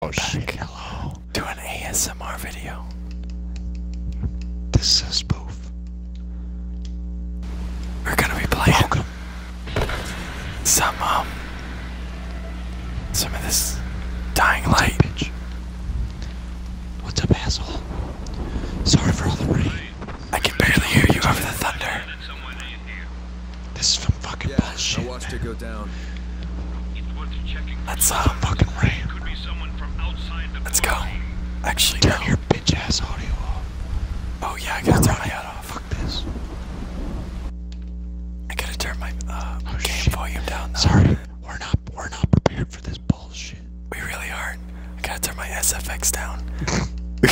Oh, back. Hello. Do an ASMR video. This is a We're gonna be playing some um, some of this dying light. What's up, asshole? Sorry for all the rain. I can barely hear you over the thunder. This is some fucking yeah, bullshit. I watched it go down. Let's uh fucking ram. Let's go. Actually, turn your bitch ass audio off. Oh yeah, I gotta turn my audio off. Fuck this. I gotta turn my uh, oh, game volume down. Though. Sorry, we're not we're not prepared for this bullshit. We really aren't. I gotta turn my SFX down.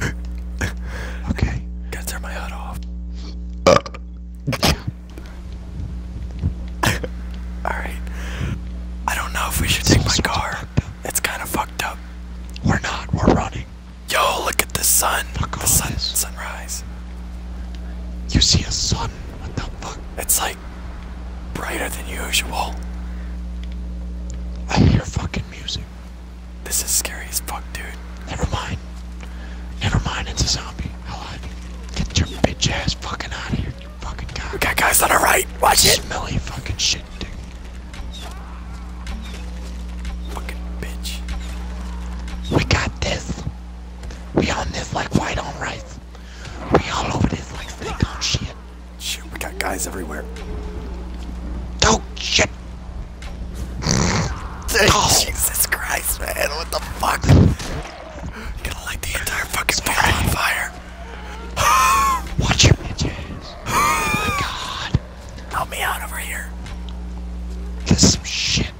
okay. Gotta turn my HUD off. Alright. I don't know if we should take my car. It's kind of fucked up. We're not. We're running. Yo, look at the sun. Fuck the sun. Sunrise. You see a sun? What the fuck? It's like brighter than usual. I hear fucking music. This is scary as fuck, dude. Never mind. Never mind, it's a zombie. I lied. Get your bitch ass fucking out of here, you fucking guy. We got guys on our right. Watch Smelly it. Smelly fucking shit, dude. Fucking bitch. We got this. We on this like white on rice. We all over this like steak on shit. Shoot, we got guys everywhere. Oh, shit. Oh. Jesus Christ, man. What the fuck? gonna light the entire fucking bar on fire. Watch your bitch oh my god. Help me out over here. This some shit.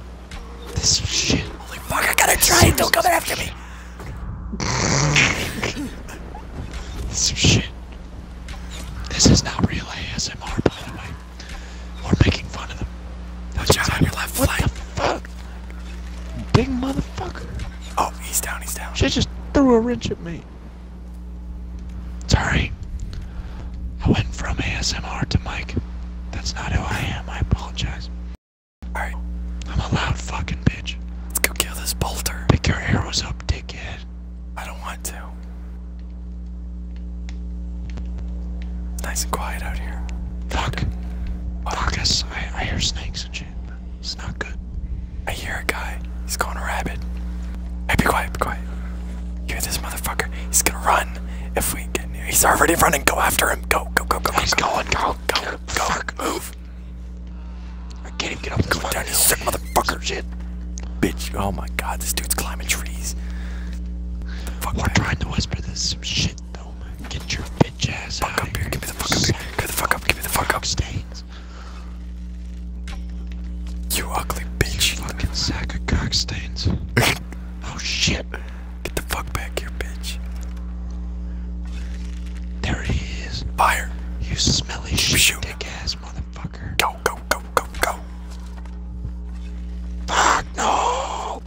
This some shit. Holy fuck, I gotta try Don't come after me. this some shit. This is not real ASMR, by the way. Or making fun of them. That's John on your left flank. What the fuck? Big motherfucker. Oh, he's down, he's down. She just threw a wrench at me. Sorry. I went from ASMR to Mike. That's not who I am. I apologize. Alright. I'm a loud fucking bitch. Let's go kill this bolter. Pick your arrows up, dickhead. I don't want want to. Nice and quiet out here. Fuck. Marcus, I, I hear snakes and shit. It's not good. I hear a guy. He's going to rabbit. Hey, be quiet, be quiet. You hear this motherfucker? He's gonna run. If we get near, he's already running. Go after him. Go, go, go, go. He's go, going. Go, go, go. go. Move. I can't even get up. Go down, you sick motherfucker. Bitch, oh my god, this dude's climbing trees. Fuck We're trying to whisper this some shit though, Get your bitch ass fuck up here. Give me the fuck up here. Get the fuck up. Give me the fuck up. Stains. You ugly bitch. fucking sack of cock stains. oh shit. Get the fuck back here, bitch. There he is. Fire. You smelly shit, dick ass motherfucker. Fucker. Go, go, go, go, go. Fuck, no!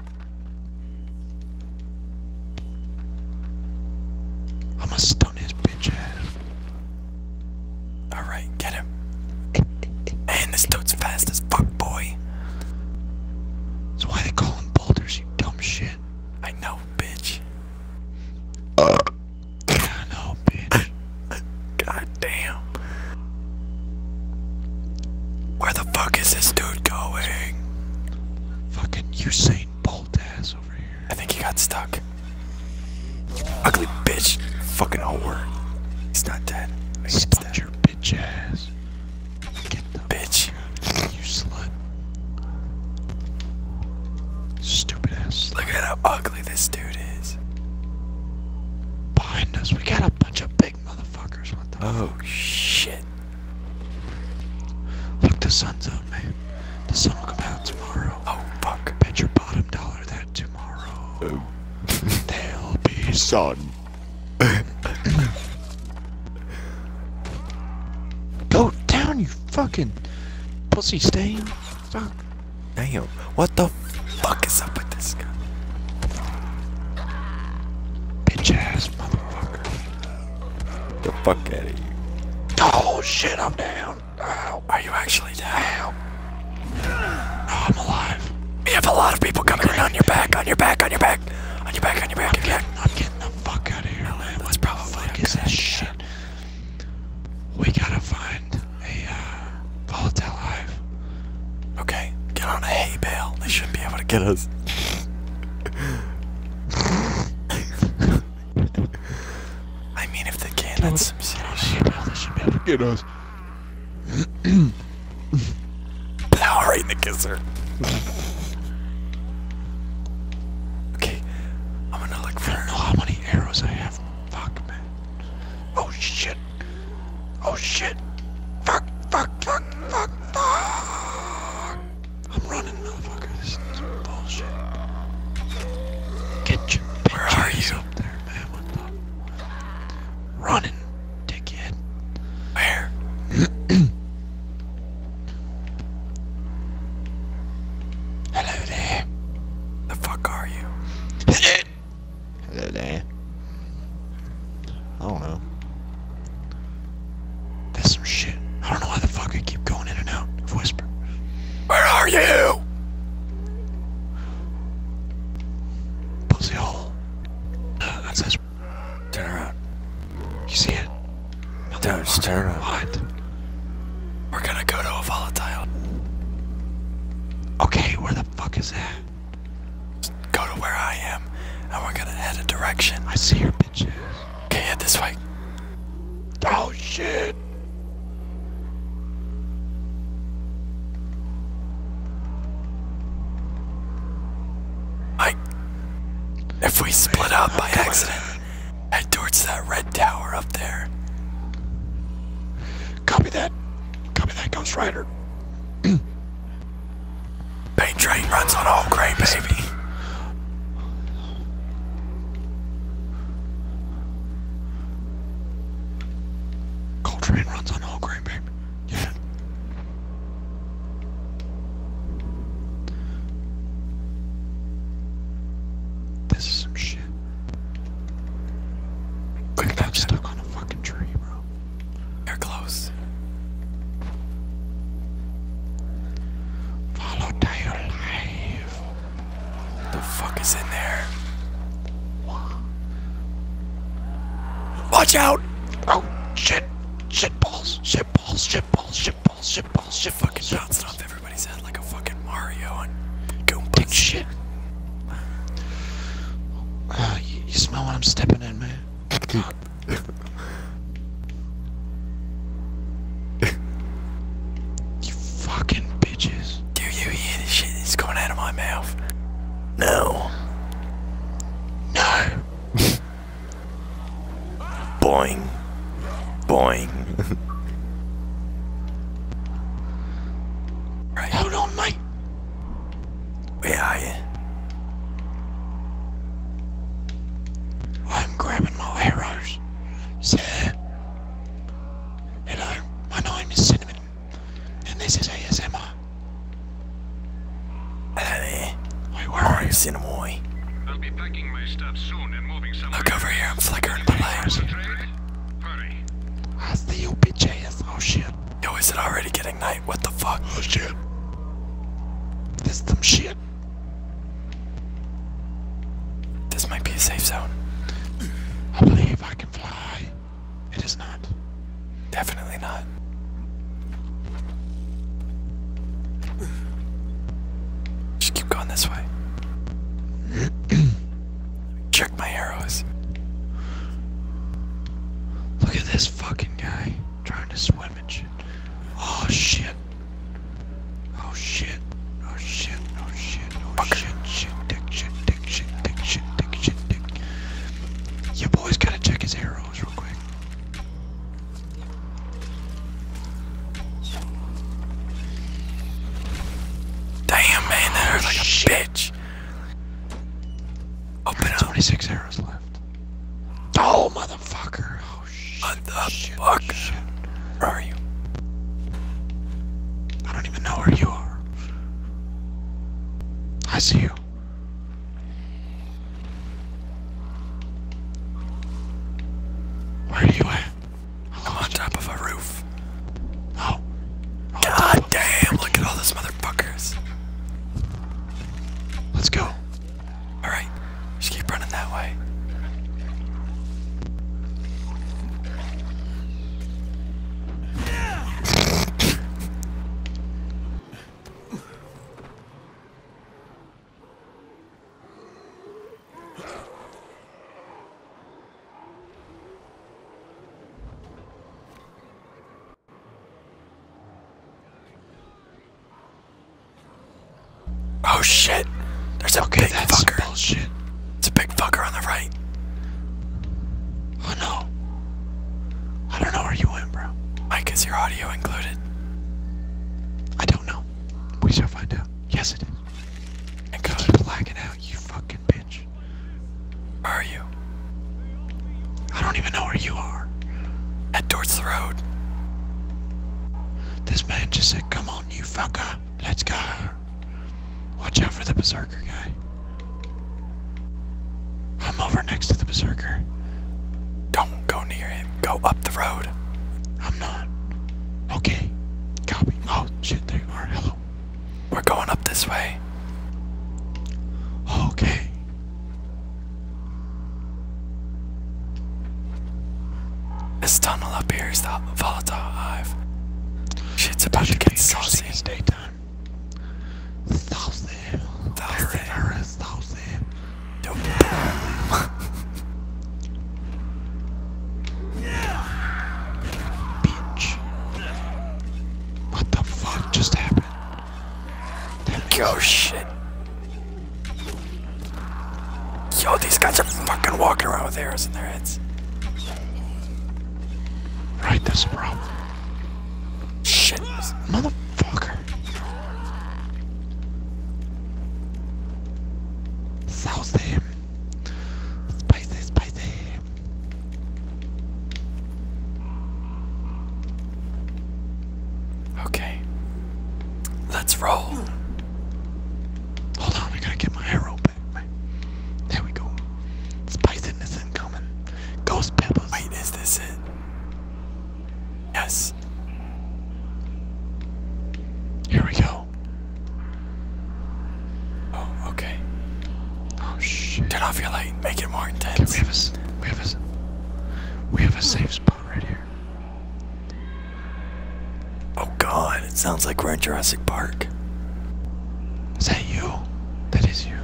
I'm gonna stun his bitch ass. Alright, get him. and this dude's fast as fuck, boy. That's why they call him Boulders, you dumb shit. I know, bitch. Uh. I know. God damn. Where the fuck is this dude going? Fucking Usain Bolt ass over here. I think he got stuck. Ugly bitch. Fucking whore. He's not dead. He's dead. your bitch ass. Get the bitch. You slut. Stupid ass. Look at how ugly! this dude is. Behind us, we got a bunch of big motherfuckers. What the Oh shit. Look, the sun's out, man. The sun will come out tomorrow. Oh fuck. Bet your bottom dollar that tomorrow. Oh. There'll be sun. Go down, you fucking pussy stain. Fuck. Damn. What the fuck is up with this guy? Bitch ass motherfucker. Get the fuck out of you. Oh shit, I'm down. Ow. Are you actually down? Oh, I'm alive. You have a lot of people coming in on your back, on your back, on your back, on your back, on your back, on your back. I'm getting the fuck out of here, man. That's what probably the fuck is that shit? We gotta find Hey, uh, hive. Okay, get on a hay bale. They shouldn't be able to get us. I mean, if they can, Dude, that's some serious. They should be able to get us. Plow the kisser. okay, I'm gonna look for. how many arrows I have. Fuck, man. Oh shit. Oh shit. Fuck, fuck, fuck, fuck, fuck. I'm running, motherfucker. This is bullshit. Get your Where are you? up there, man. What the? Running, dickhead. Where? Hello there. The fuck are you? Hello there. I don't know. That's some shit. I don't know why the fuck I keep going in and out Whisper. Where are you? Pussy hole. Uh, Turn around. You see it? Don't turn around. We're gonna go to a volatile. Okay, where the fuck is that? go to where I am, and we're gonna head a direction. I see your bitches. Okay, head this way. Oh shit! I. If we split up by accident, head towards that red tower up there. Copy that. Copy that, Ghost Rider. Paint train runs on all gray, baby. Coltrane runs on all gray, baby. Yeah. This is some shit shit. Quick, stuck on a fucking tree, bro. They're close. Follow Taylor Live. The fuck is in there? Watch out! Oh, shit. Shit balls, shit balls, shit balls, shit balls, shit balls, shit fucking bouncing off everything everybody sounds like a fucking Mario and Goomba. shit. Ah, you, smell what I'm stepping in, man? you fucking bitches. Do you hear this shit that's coming out of my mouth? No. No. Boing. Boing. Hold on, mate. Where are you? I'm grabbing my arrows, sir. Hello, my name is Cinnamon, and this is ASMR. Hello there. are I'm Look over here, I'm flickering my Hurry. That's the UPJS. Oh shit. Yo, is it already getting night? What the fuck? Oh shit. This some shit. This might be a safe zone. I believe I can fly. It is not. Definitely not. Just keep going this way. Check my arrows. Look at this fucking guy trying to swim and shit. Oh shit. Oh shit. Oh shit. Oh shit. Oh Fuck. shit. Shit. Dick. Shit. Dick. Shit. Dick. Shit. Dick. Shit. Dick. Your boy's gotta check his arrows real quick. Damn, man, that hurt like a bitch. Open up. 26 arrows left. Oh, motherfucker. Oh, shit. What the fuck? Where are you? I don't even know where you are. I see you. Where are you at? i on top of a roof. Oh. God look at all those motherfuckers. Let's go. Alright, just keep running that way. Oh shit! There's a okay, big fucker. Bullshit. It's a big fucker on the right. Oh no. I don't know where you went, bro. Mike, is your audio included? I don't know. We shall find out. Yes, it is. And cause out, you fucking bitch. Where are you? I don't even know where you are. Head towards the road. This man just said, come on, you fucker. Let's go. Watch out for the berserker guy. I'm over next to the berserker. Don't go near him. Go up the road. I'm not. Okay. Copy. Oh, shit, they are. Hello. We're going up this way. Okay. This tunnel up here is the volatile hive. Shit's about to get saucy. It's daytime. Saucy. Saucy. Very, very saucy. Dope. Bitch. What the fuck just happened? Yo, shit. Yo, these guys are fucking walking around with arrows in their heads. Right, that's a problem. Shit. Motherfucker. Saucy. Spicy, spicy. Okay. Let's roll. Hold on, I gotta get my arrow back. There we go. Spiciness incoming. Ghost peppers. Wait, is this it? Yes. Here we go. Oh, okay. Oh shit. Turn off your light. Make it more intense. we have a we have a we have a safe spot right here. Oh god, it sounds like we're in Jurassic Park. Is that you? That is you.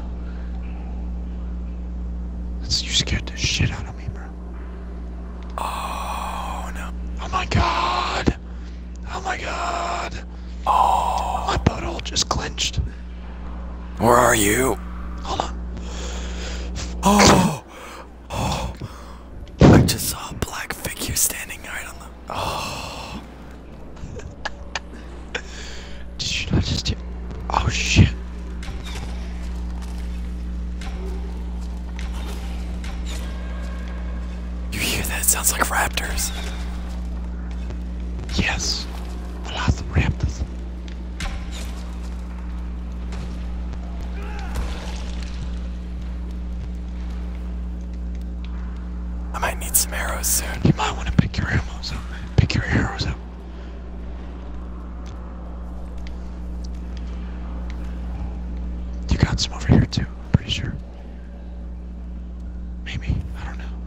That's, you scared the shit out of me, bro. Oh no. Oh my god. Oh my god. Oh. My butthole just clenched. Where are you? Hold on. Oh. Oh. I just saw a black figure standing right on the. Oh. Did you not just Oh shit. You hear that? It sounds like raptors. Yes, velociraptors. I might need some arrows soon. You might want to pick your arrows up. Pick your arrows up. You got some over here too, I'm pretty sure. Maybe, I don't know.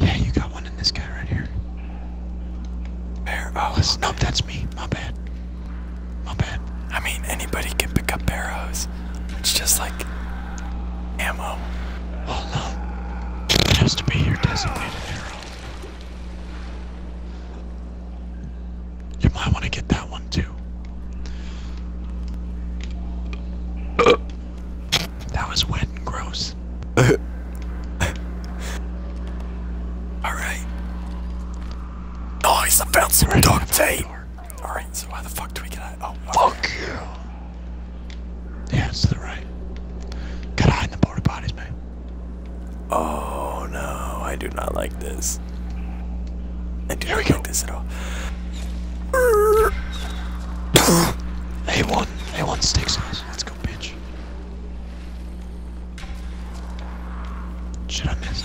Yeah, you got one in this guy right here. Bear, oh, okay. that's me, my bad. My bad. I mean, anybody can pick up arrows. It's just like ammo. Oh no, it to be your designated arrow. You might want to get that one too. That was wet gross. Alright. Nice, I found some We're dog tape! Alright, so how the fuck do we get out? Oh, fuck you! Yeah, it's to the right. Gotta in the porta potties, man. Oh no, I do not like this. I do not like this at all. A1, A1 steak sauce. Let's go, bitch. Shut up, miss?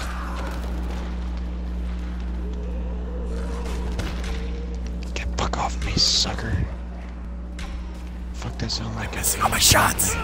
Get fuck off me, sucker. Fuck that sound like I'm all my shots.